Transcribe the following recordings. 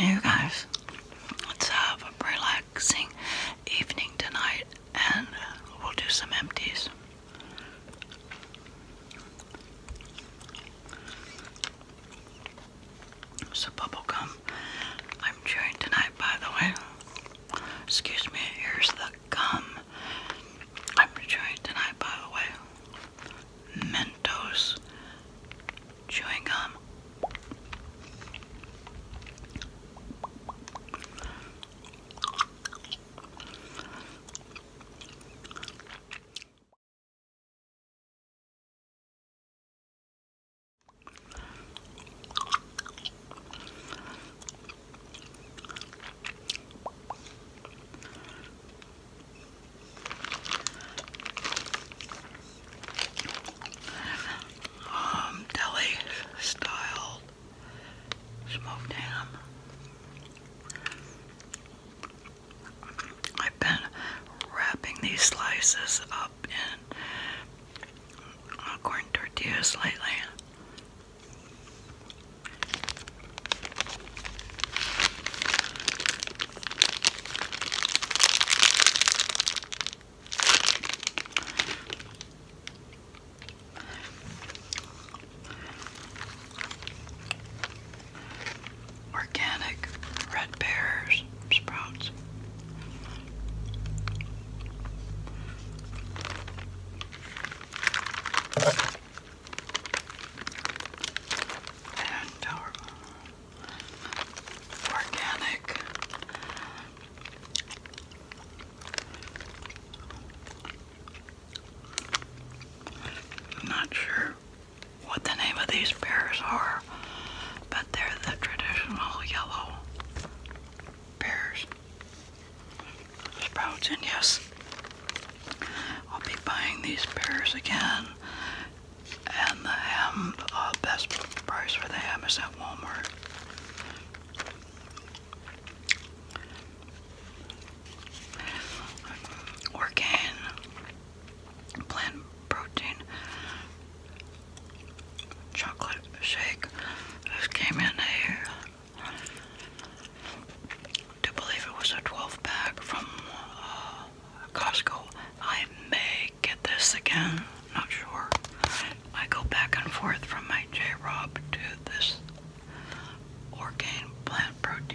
you guys, let's have a relaxing evening tonight and we'll do some empties. So bubblegum I'm chewing tonight by the way. Excuse me, here's the gum. I'm trying tonight, by the way. Mentos chewing gum. Um, deli style smoked ham. I've been wrapping these slices up in corn tortillas lately. Organic red pears, sprouts organic I'm not sure what the name of these pears are, but they're the traditional yellow pears sprouts, yes, I'll be buying these pears again. And the ham, uh, best price for the ham is at Walmart. Orgain, plant protein, chocolate shake. This came in a do believe it was a 12 pack from uh, Costco. I may get this again, not sure. I go back and forth from my J Rob to this Orgain plant protein.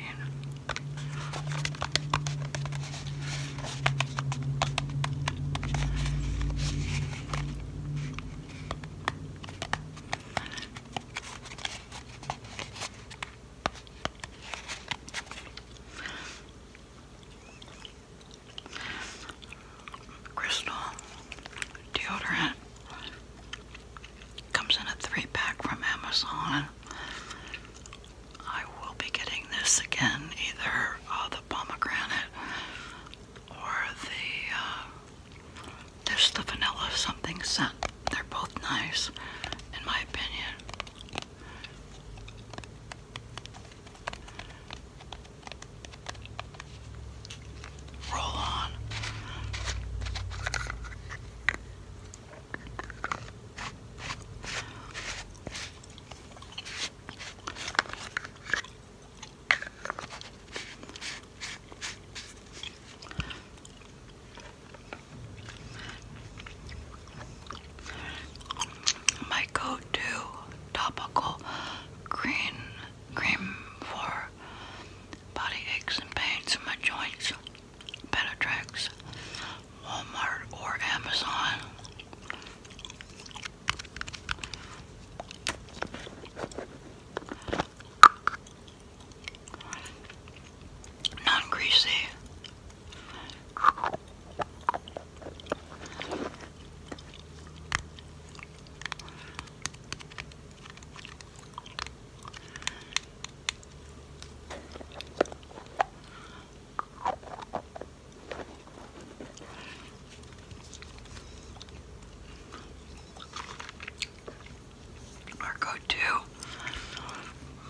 Crystal deodorant comes in a three pack from Amazon. I will be getting this again, either uh, the pomegranate or the uh, there's the vanilla something scent. They're both nice, in my opinion. Roll on. My go-to topical green cream for body aches and pains in my joints, Benetrix, Walmart, or Amazon. Not greasy our go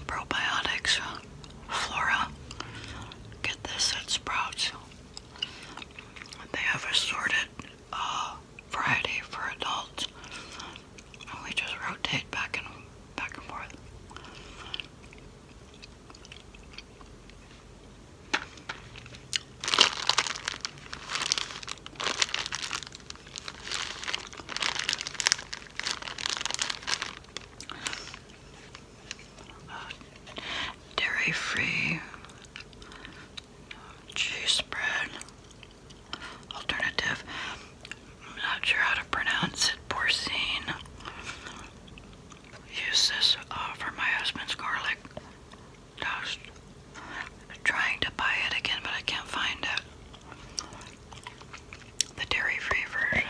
probiotics, Flora. Get this at Sprouts. They have assorted uh, variety for adults, and we just rotate back and back and forth. Dairy-free cheese bread alternative. I'm not sure how to pronounce it. Porcine. Use uh, for my husband's garlic toast trying to buy it again, but I can't find it. The dairy free version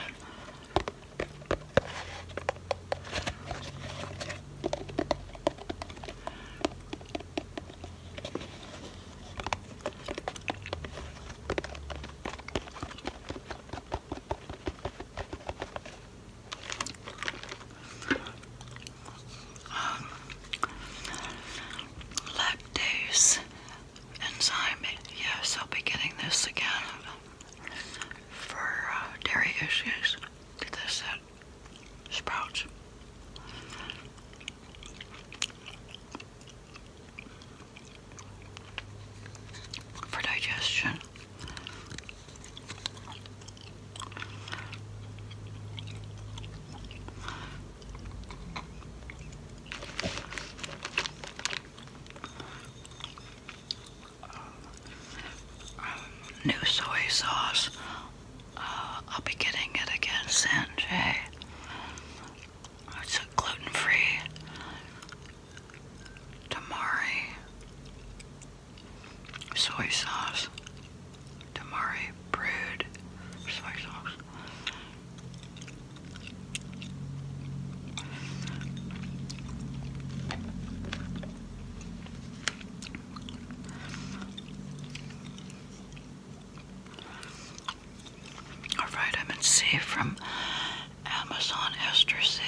lactase enzyme. Yes, I'll be getting this again for uh, dairy issues. Did this at Sprouts? For digestion. New soy sauce. Uh, I'll be getting it again San It's gluten free. Tamari soy sauce tamari brewed soy sauce. All right, C from Amazon Esther C.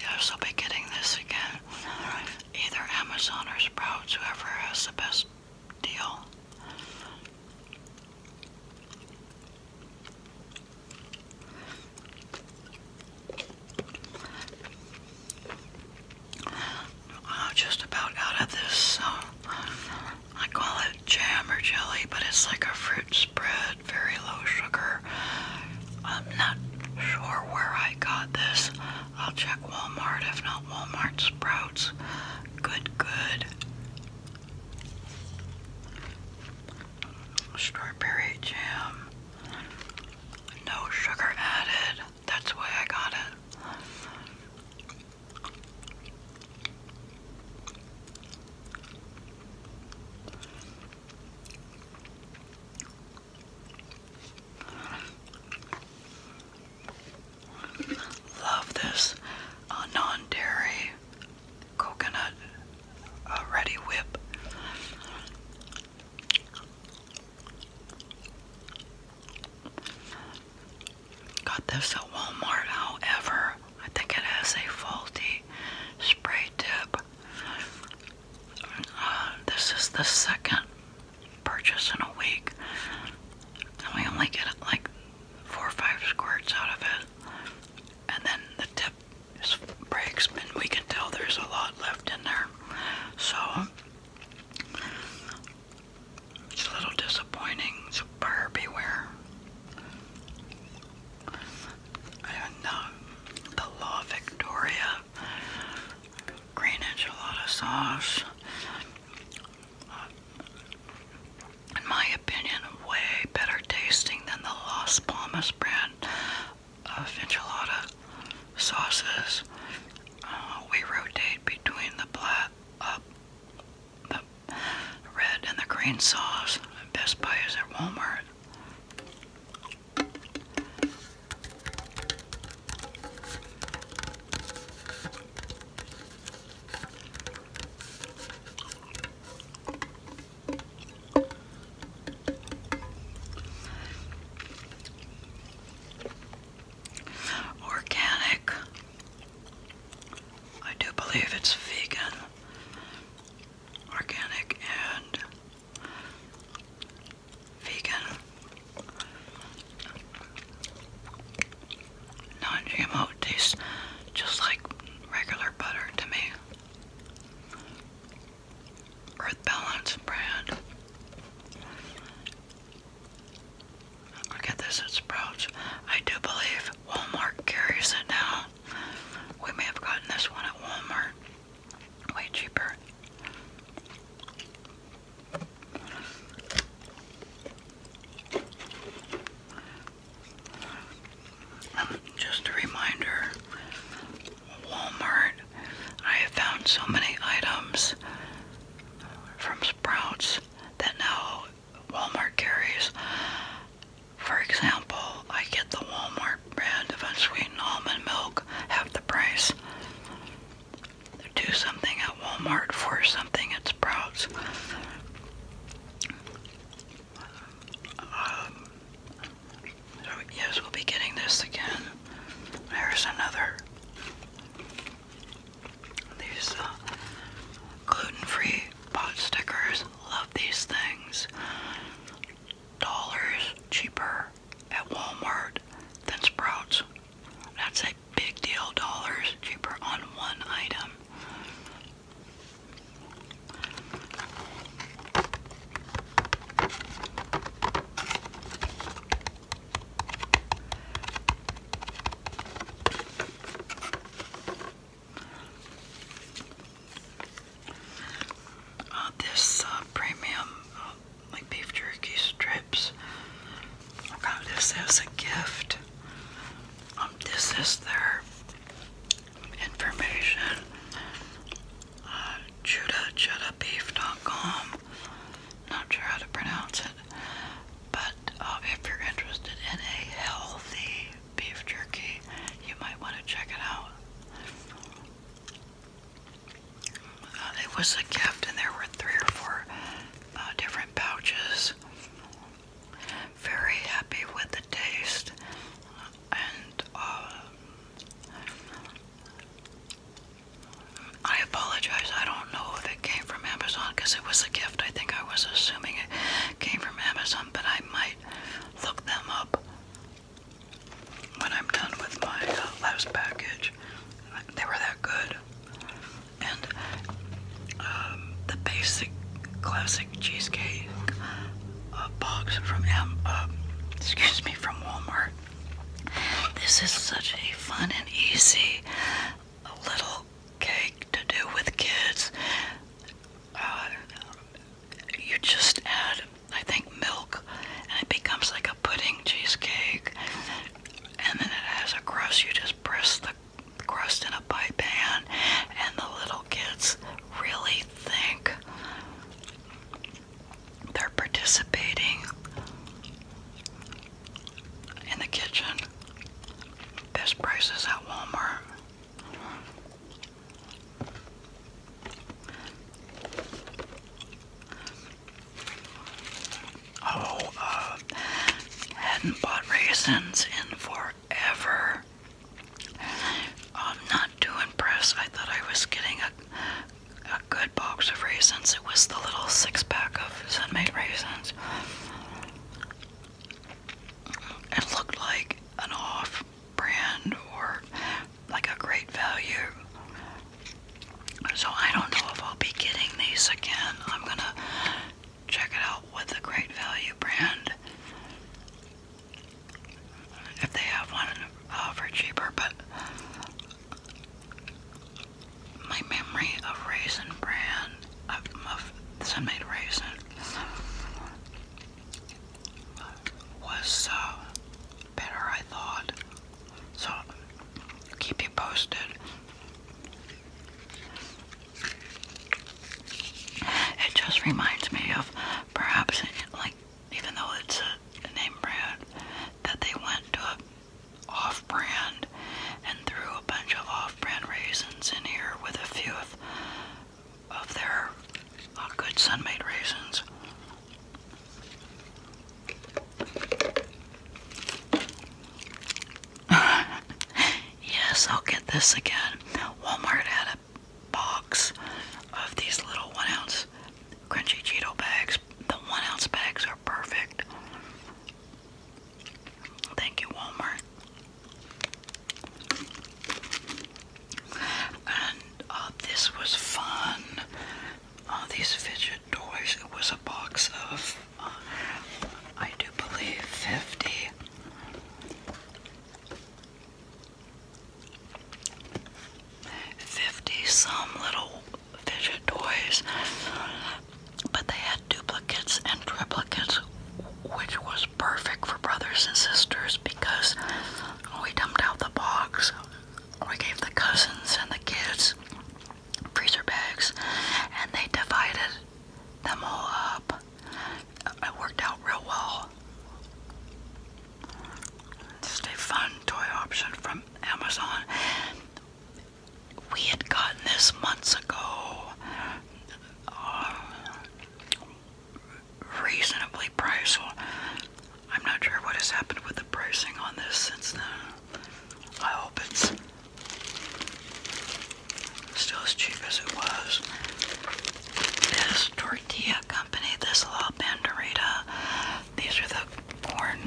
Yes, I'll be getting this again. Either Amazon or Sprouts, whoever has the best deal. I'm just about out of this. I call it jam or jelly, but it's like a fruit spread very low sugar. I'm not sure where I got this. I'll check Walmart, if not Walmart, Sprouts. Good, good. Strawberry jam. No sugar added. That's why I got it. Love this uh, non-dairy coconut uh, ready whip. Got this at Walmart, however, I think it has a faulty spray tip. Um, this is the second purchase in a week, and we only get like four or five squirts out of it, and then the tip just breaks, and we can tell there's a lot left in there. So it's a little disappointing. buyer beware the La Victoria green enchilada sauce. in my opinion, way better tasting than the Las Palmas brand of enchilada sauces. Uh, we rotate between the black, uh, the red, and the green sauce. Best Buy is at Walmart. Organic. I do believe it's vegan. Organic and vegan, non-GMO tastes just like regular butter to me. Earth Balance brand. Look at this at Sprouts. I do believe Walmart carries it now. We may have gotten this one at Walmart. Way cheaper. Um, just a reminder, Walmart, I have found so many items from Sprouts that now Walmart carries. For example, I get the Walmart brand of unsweetened almond milk half the price. Do something at Walmart for something at Sprouts. Um, so yes, we'll be getting this again. There's another. These uh, gluten-free pot stickers. Love these things. Dollars cheaper at Walmart than Sprouts. That's a big deal, dollars cheaper on one item. Uh, this uh, premium uh, like beef jerky strips. I got this as a gift. Um, this is their information. Uh, Judah, JudahBeef.com. Not sure how to pronounce it, but if you're interested in a healthy beef jerky, you might want to check it out. Uh, it was a gift, and there were three or four uh, different pouches. Very happy with the taste, and uh, I apologize. I don't know if it came from Amazon because it was a gift. I think I was assuming it came from Amazon, but I might look them up when I'm done with my uh, last package. They were that good. And um, the basic classic cheesecake uh, box from M, um, excuse me, from Walmart. This is such a fun and easy little cake to do with kids. Uh, you just add, I think, milk, and it becomes like a pudding cheesecake, and then it has a crust. You just press the crust in a pie pan, and the little kids really think they're participating in the kitchen. This price at Walmart. Oh, uh, hadn't bought raisins in forever. I'm not too impressed. I thought I was getting a, a good box of raisins. It was the little six pack of Sunmade raisins. It looked like an off brand or like a great value. So I don't know if I'll be getting these again. I'm gonna check it out with the Great Value brand if they have one uh, for cheaper. But my memory of Raisin brand of, of Sunmade Raisin was so. Uh, better, I thought. So, keep you posted. It just reminds me of perhaps, like, even though it's a, name brand, that they went to off brand and threw a bunch of off brand raisins in here with a few of, of their uh, good sun made raisins. yes, I'll get this again. Walmart had a box of these little one ounce crunchy Cheeto bags. The one ounce bags are perfect. Thank you, Walmart. And uh, this was fun. All uh, these fidget dollars. It was a box of, uh, I do believe, fifty. Fifty some little fidget toys, but they had duplicates and triplicates, which was perfect for brothers and sisters because we dumped out the box we gave the cousins and the kids freezer bags, and they divided them all up. It worked out real well. Just a fun toy option from Amazon. We had gotten this months ago, uh, reasonably priced, I'm not sure what has happened with the pricing on this since then. I hope it's still as cheap as it was. This tortilla company, this La Banderita, these are the corn,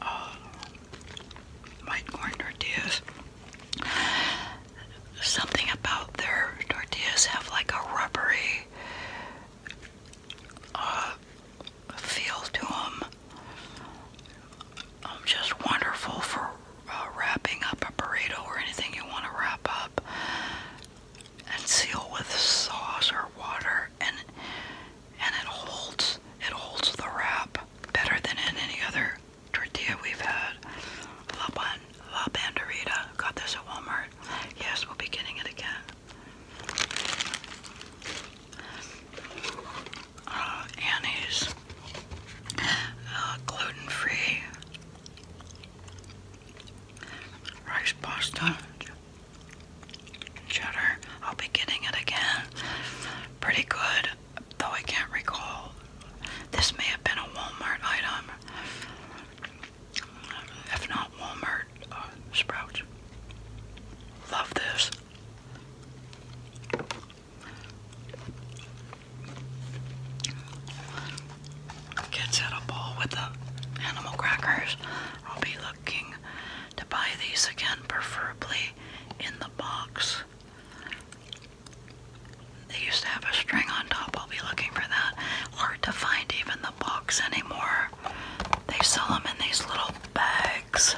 uh, white corn tortillas. Something about their tortillas have like a rubbery uh, feel to them. Um, just wonderful for uh, wrapping up a burrito or anything you want to wrap up and seal with sauce or water and and it holds it holds the wrap better than in any other tortilla we've had. La, Ban La Banderita. Got Walmart. Yes, we'll be getting it again. Uh, Annie's uh, gluten-free rice pasta cheddar. I'll be getting it again. Pretty good, though I can't recall. This may have been a Walmart item. If not Walmart, uh, Sprout, Love this. Kids hit a ball with the animal crackers. I'll be looking to buy these again, preferably in the box. They used to have a string on top. I'll be looking for that. Hard to find even the box anymore. They sell them in these little bags.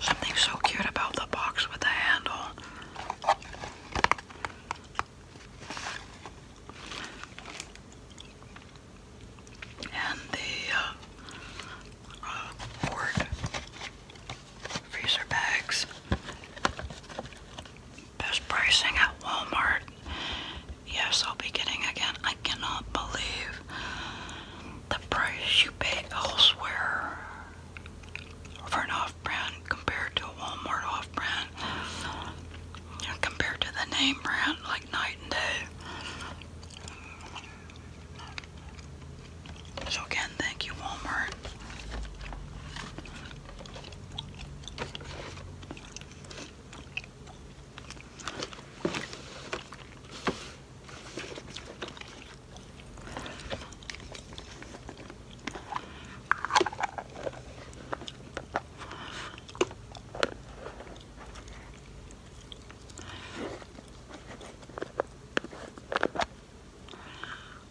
Something so cute about the box with the handle. And the uh, uh freezer bags. Best pricing at Walmart. Yes, I'll be getting again. I cannot believe the price you pay elsewhere for an off brand compared to a Walmart off brand. Compared to the name brand, like night and day. So again, thank you, Walmart.